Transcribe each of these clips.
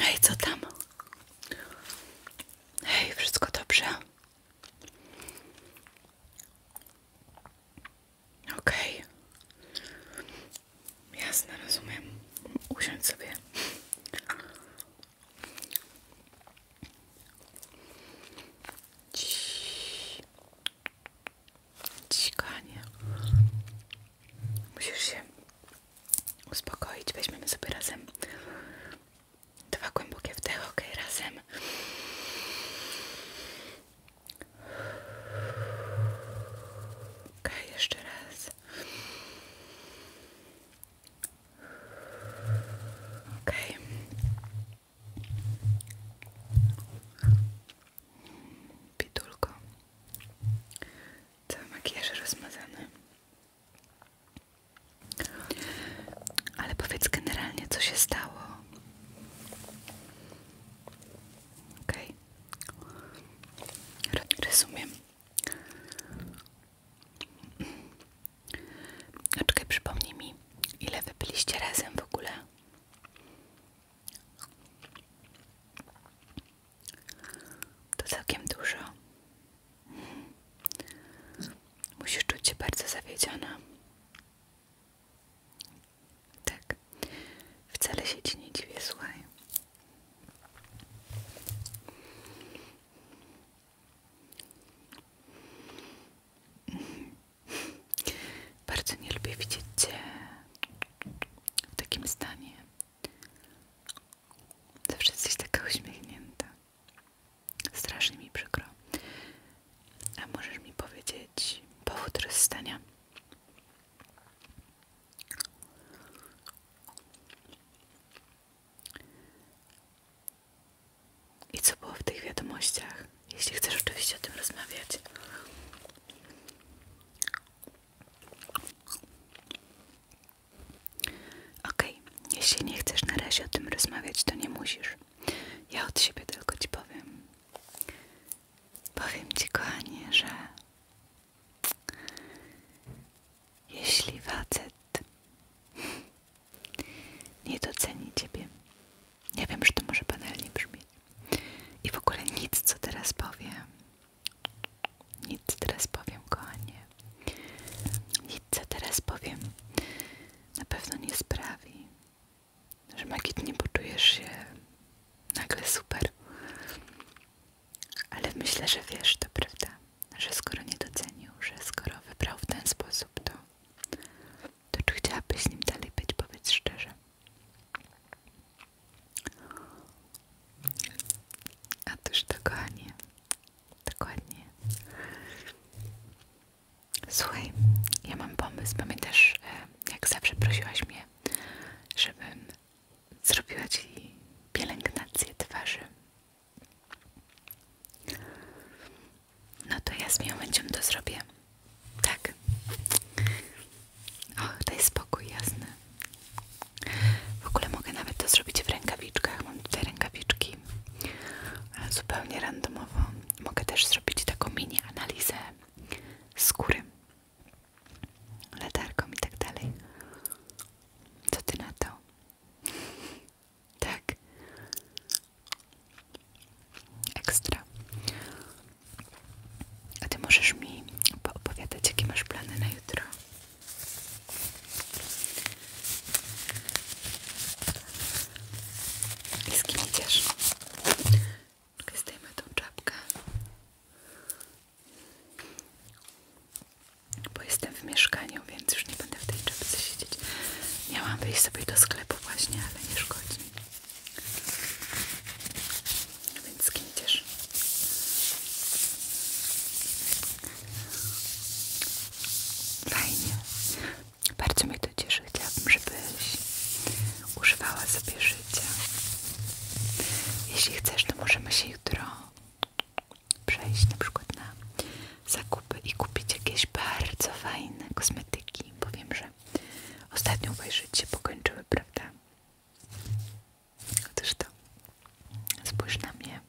Hej, co tam? Hej, wszystko dobrze? Okej. Okay. Jasne, rozumiem. Usiądź sobie. Ciii. Ciskanie. Musisz się uspokoić. Weźmiemy sobie razem dwa głębokie wdechy. Ok, razem. Ok, jeszcze raz. Ok. Pitulko. Cały makijaż rozmazany. Ale powiedz generalnie, co się stało. Okej. Okay. No A przypomnij mi, ile wy byliście razem w ogóle? To całkiem dużo. Musisz czuć się bardzo zawiedziona. Tak, wcale się ci nie dziwię, słuchaj. Bardzo nie lubię widzieć Cię w takim stanie. Zawsze jesteś taka uśmiechnięta. Strasznie mi przykro. A możesz mi powiedzieć powód rozstania? I co było w tych wiadomościach? Jeśli chcesz oczywiście o tym rozmawiać. Okej, jeśli nie chcesz na razie o tym rozmawiać, to nie musisz. Ja od siebie tylko ci powiem. Powiem ci, kochanie, że jeśli facet nie doceni ciebie. Nie wiem, że to może banalnie brzmieć. I w ogóle nic, co teraz powiem. Nic co teraz powiem, kochanie. Nic co teraz powiem na pewno nie sprawi, że nie poczujesz się nagle super. Ale myślę, że wiesz to, prawda? że skoro nie docenił, że skoro wybrał w ten sposób, to, to czy chciałabyś z nim dalej być? Powiedz szczerze. A też dokładnie, dokładnie. Słuchaj, ja mam pomysł. Pamiętasz, e, jak zawsze prosiłaś mnie, żebym zrobiła ci pielęgnację twarzy no to ja z miłym chęcią to zrobię. Tak. O, daj spokój, jasne. W ogóle mogę nawet to zrobić w rękawiczkach. Mam tutaj rękawiczki zupełnie randomowo. Mogę też zrobić taką mini analizę skóry, latarką i tak dalej. Co ty na to? Tak. Ekstra. A ty możesz mi opowiadać, jakie masz plany na jutro? I z kim idziesz? Zdejmę tą czapkę bo jestem w mieszkaniu, więc już nie będę w tej czapce siedzieć. Miałam wyjść sobie do sklepu właśnie, ale nie szkodzi. Więc z kim Fajnie. Bardzo mi to cieszy. Chciałabym, żebyś używała sobie życia. Jeśli chcesz, to możemy się jutro przejść na przykład na zakupy i kupić jakieś bardzo fajne kosmetyki. Powiem, że ostatnio obejrzeć się pokończyły, prawda? Otóż to. Spójrz na mnie.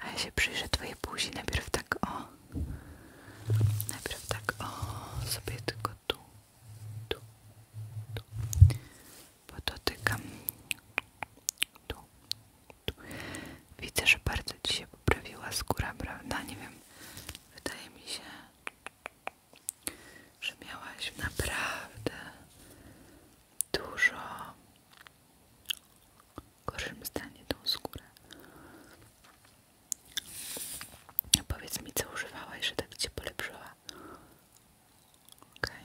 A ja się przyjrzę twojej buzi. Najpierw tak o. Najpierw tak o. Sobie tylko tu, tu bo dotykam tu, tu. Widzę, że bardzo Ci się poprawiła skóra, prawda? Nie wiem, wydaje mi się, że miałaś naprawdę dużo gorszym stanie tą skórę. No powiedz mi, co używałaś, że tak Cię polepszyła. Okej.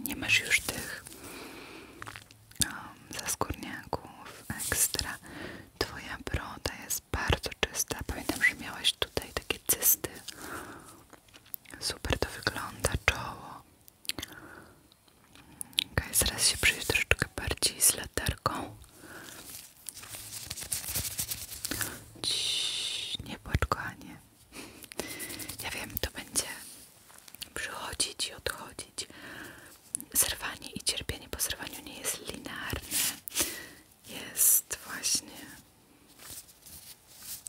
Nie masz już tych um, extra. ekstra. Twoja broda jest bardzo czysta. Pamiętam, że miałaś tutaj takie cysty. Super to wygląda, czoło. Okej, zaraz się przyjdzie troszeczkę bardziej z latarką. Ciii, nie płacz, nie. Ja wiem, to będzie przychodzić i odchodzić. Zerwanie i cierpienie po zerwaniu nie jest linearne. Jest właśnie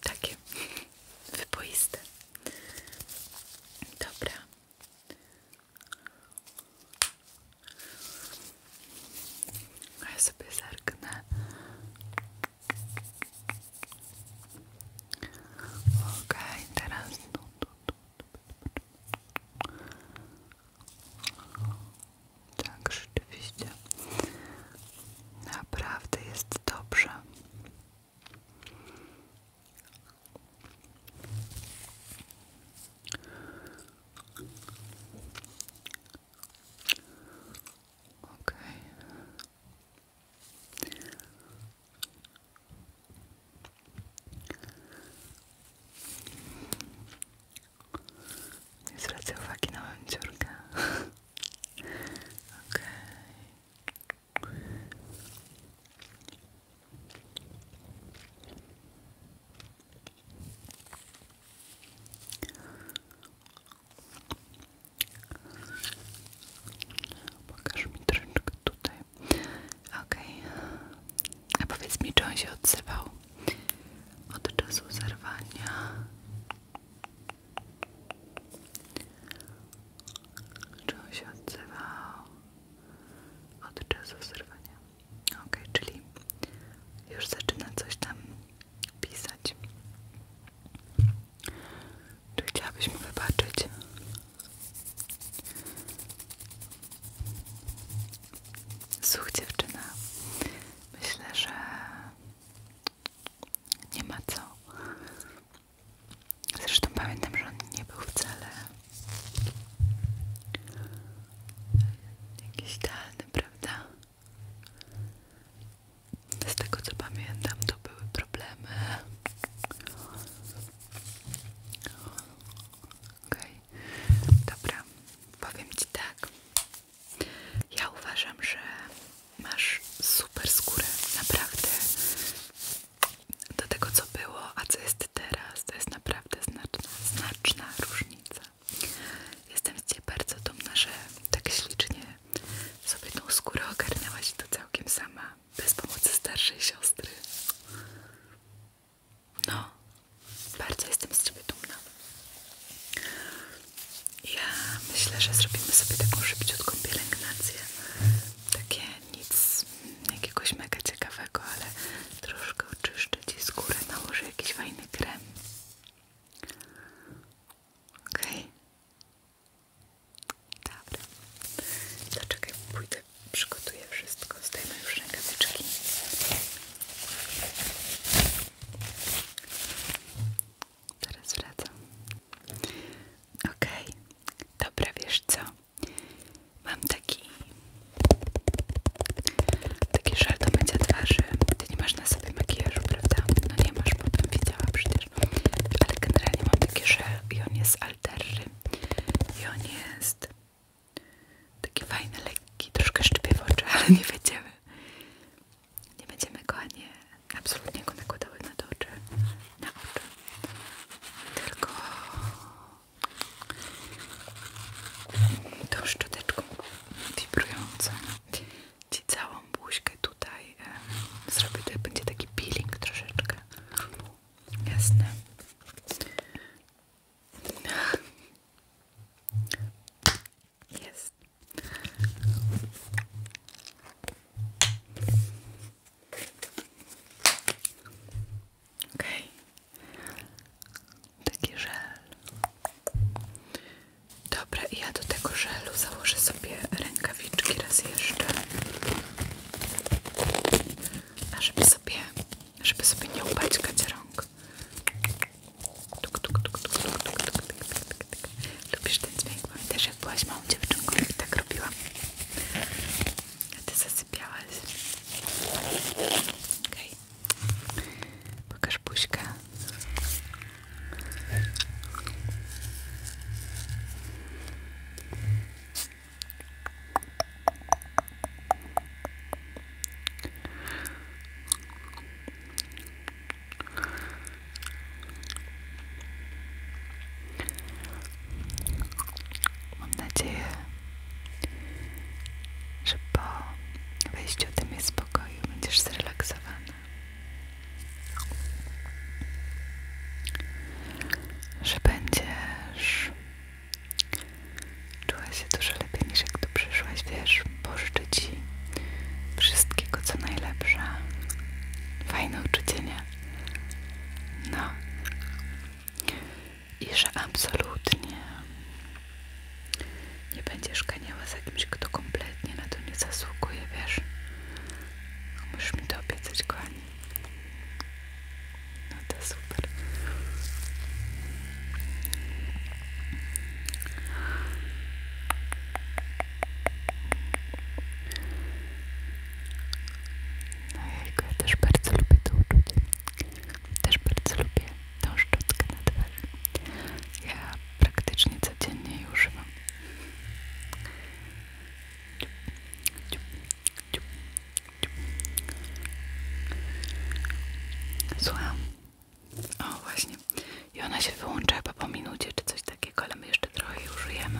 takie wyboiste. Dobra. Ja sobie zerknę Ok, teraz tu, tu, tu, tak, rzeczywiście. Naprawdę jest dobrze. Okej. Nie zwracaj uwagi na moją dziurkę. Okej. Okay. Pokaż mi troszeczkę tutaj. ok, A powiedz mi, czy on się odzywał od czasu zerwania? Czy on się odzywał od czasu zerwania? ok, czyli już zaczyna coś tam pisać. Czy chciałabyś mu wybaczyć? Słuch dziewczyna, myślę, że nie ma co. Zresztą pamiętam, że on nie był wcale jakiś idealny, prawda? Z tego co pamiętam, to były problemy. OK, dobra, powiem Ci tak. Ja uważam, że masz super skórę, naprawdę. Do tego co było, a co jest teraz, to jest naprawdę znaczna, znaczna różnica. Jestem z Ciebie bardzo dumna, że tak ślicznie sobie tą skórę ogarnęłaś i to całkiem sama, bez pomocy starszej siostry. No, bardzo jestem z ciebie dumna. Ja myślę, że zrobimy sobie taką szybciutką pielęgnację. Takie nic jakiegoś mega ciekawego, ale troszkę oczyszczę ci skórę, nałożę jakiś fajny krem. Okej. Okay. Dobra. To czekaj, pójdę, przygotuję wszystko. Zdejmę już rękawiczki. Teraz wracam. Okej. Okay. Dobra, wiesz co? Mam taki... Taki żal do twarzy nie masz na sobie makijażu, prawda? No nie masz, bo bym widziała przecież. Ale generalnie mam taki, że i on jest alterry. I on jest taki fajny, lekki, troszkę szczypiewoczy, ale nie będziemy. Nie będziemy go ani absolutnie go nakładały na to Na oczy. Tylko tą szczoteczką wibrującą Ci całą buźkę tutaj e, zrobię, to będzie taki peeling troszeczkę. Jasne. Jest. Okay. Taki żel. Dobra, i ja do tego żelu założę sobie rękawiczki raz jeszcze. A żeby sobie, żeby sobie nie upaćkać rąk. Tuk, tuk, tuk, tuk, tuk, tuk, tuk, tuk, tuk. Lubisz ten dźwięk? Pamiętasz jak byłaś małą dziewczynką i tak robiłam? A ty zasypiałaś. Okej. Pokaż buźkę. Mam nadzieję, że po wyjściu tym jest spokoju, będziesz zrelaksowana. Że będziesz czuła się dużo lepiej niż jak tu przyszłaś, wiesz, pożyczę wszystkiego co najlepsze. Fajne uczucie, nie? No. I że absolutnie nie będziesz ganiała za kimś, kto kompletnie na to nie zasługuje, wiesz? Musisz mi to obiecać, kochani. No to super. No jajko, ja też bardzo lubię to uczucie. Też bardzo lubię tą szczotkę na twarzy. Ja praktycznie codziennie już używam. Słucham. O, właśnie. I ona się wyłącza po minucie czy coś takiego, ale my jeszcze trochę jej użyjemy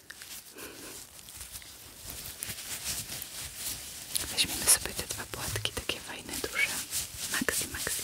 Weźmiemy sobie te dwa płatki, takie fajne, duże. Maxi, maxi.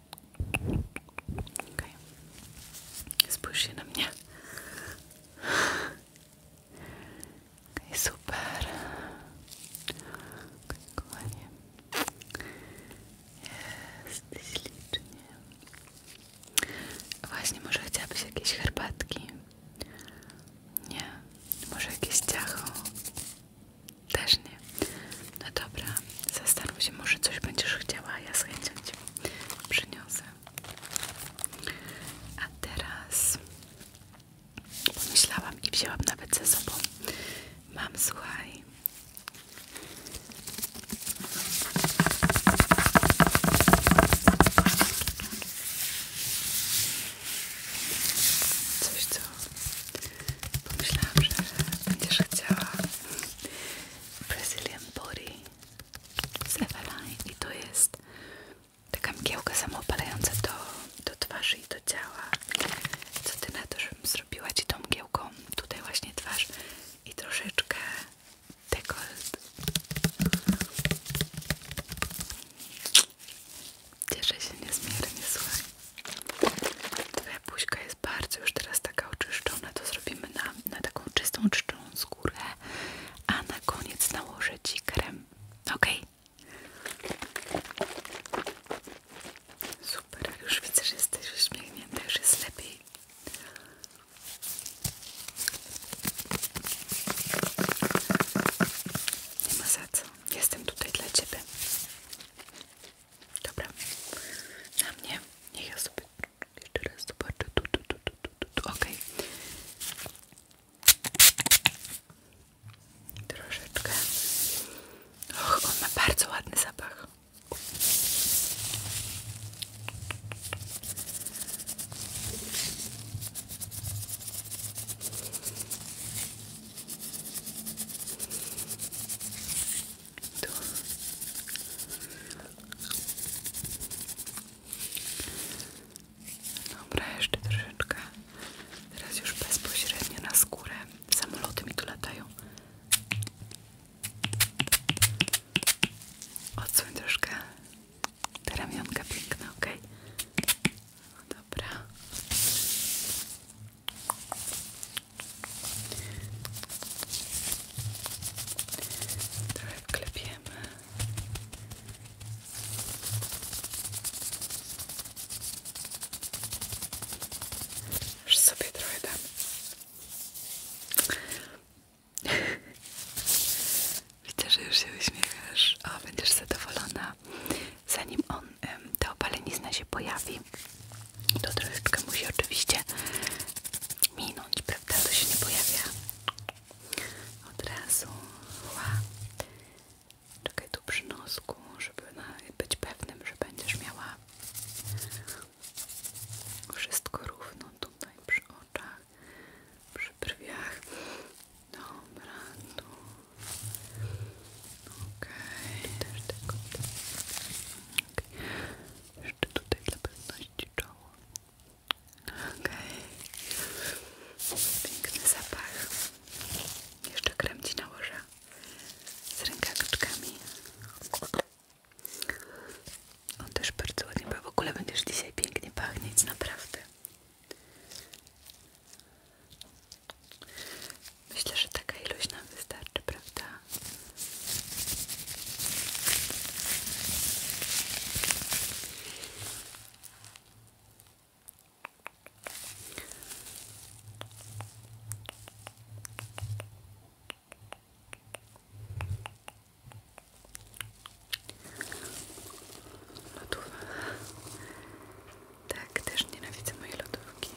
Okay. na mnie. super. Okay, kochanie. Jesteś licznie. Właśnie, może chciałabyś jakieś herbatki? Nie. Może jakieś ciacho? Też nie. No dobra, zastanów się, może coś będziesz chciała, ja z chęcią przyniosę. A teraz pomyślałam i wzięłam nawet ze sobą. Mam, słuchaj. Coś, co pomyślałam, że będziesz chciała Brazilian Body z Eveline i to jest taka mgiełka samoopalająca do, do twarzy i do ciała co ty na to, żebym zrobiła ci tą mgiełką tutaj właśnie twarz i troszeczkę dekolt cieszę się niezmiernie, słuchaj twoja buźka jest bardzo już teraz taka oczyszczona to zrobimy na na taką czystą, czczą skórę, a na koniec nałożę Ci krem. Ok? Super, już widzę, że jesteś uśmiechnięta, już jest lepiej. Nie ma za co, jestem tutaj dla Ciebie. Dobra, na mnie. Niech ja sobie jeszcze raz zobaczę. Tu, tu, tu, tu, tu, tu. Okej. Okay. Troszeczkę. Och, on ma bardzo ładny zapach. Tu. Dobra, jeszcze troszeczkę. Teraz już bezpośrednio na skórę. Samoloty mi tu latają. Odsuń troszkę te ramionka piękne, ok? No dobra. Trochę wklepiemy. Już sobie trochę dam. Widzę, że już się uśmiechasz. O, będziesz zadowolona. Zanim on, ta opalenizna się pojawi, to troszeczkę musi oczywiście minąć, prawda? To się nie pojawia od razu. Ła. Czekaj tu przy nosku, żeby być pewnym, że będziesz miała wszystko równo tutaj przy oczach, przy brwiach. Dobra, tu. Okej, okay. Jeszcze tutaj dla pewności czoło. Okej. Okay. Piękny zapach. Jeszcze krem Ci nałożę z rękawiczkami. On też bardzo ładnie, bo w ogóle będziesz dzisiaj pięknie pachnieć, naprawdę. Myślę, że taka ilość nam wystarczy, prawda? Lodówka. Tak, też nienawidzę mojej lodówki.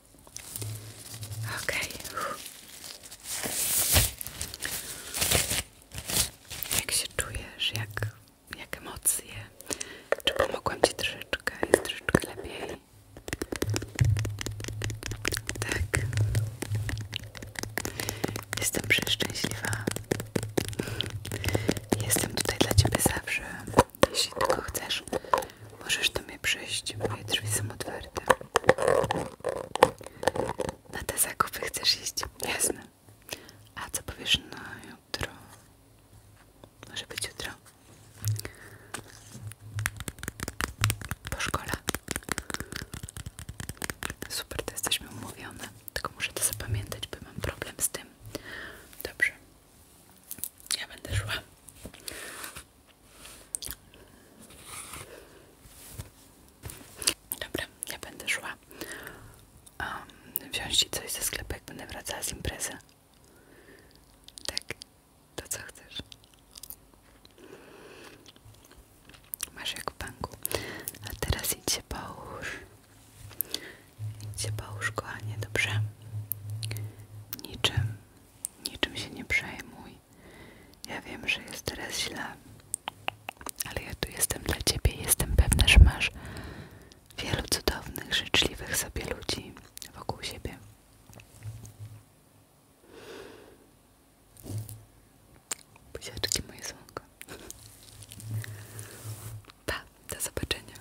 Ok. Jak się czujesz? Jak, jak emocje? Czy pomogłam Ci troszeczkę? troszeczkę lepiej? Tak. Jestem przeszczęśliwa. Jestem tutaj dla Ciebie zawsze. Jeśli tylko chcesz, możesz do mnie przyjść. Moje drzwi są otwarte. Na te zakupy chcesz iść? Jasne. A co powiesz na jutro? Może być jutro? Po szkole? Super, to jesteśmy umówione. Tylko muszę to zapamiętać, bo mam problem z tym. Dobrze. Ja będę szła. Dobra, ja będę szła. Um, wziąć ci coś ze sklepu, jak będę wracała z imprezy. Tak, to co chcesz? Masz jak w banku. A teraz idź się połóż. Idź się połóż, kochanie, dobrze? Niczym, niczym się nie przejmuj. Ja wiem, że jest teraz źle, ale ja tu jestem dla ciebie. Jestem pewna, że masz wielu cudownych, życzliwych sobie ludzi wokół siebie. Buziaczki moje słonko. Pa, do zobaczenia.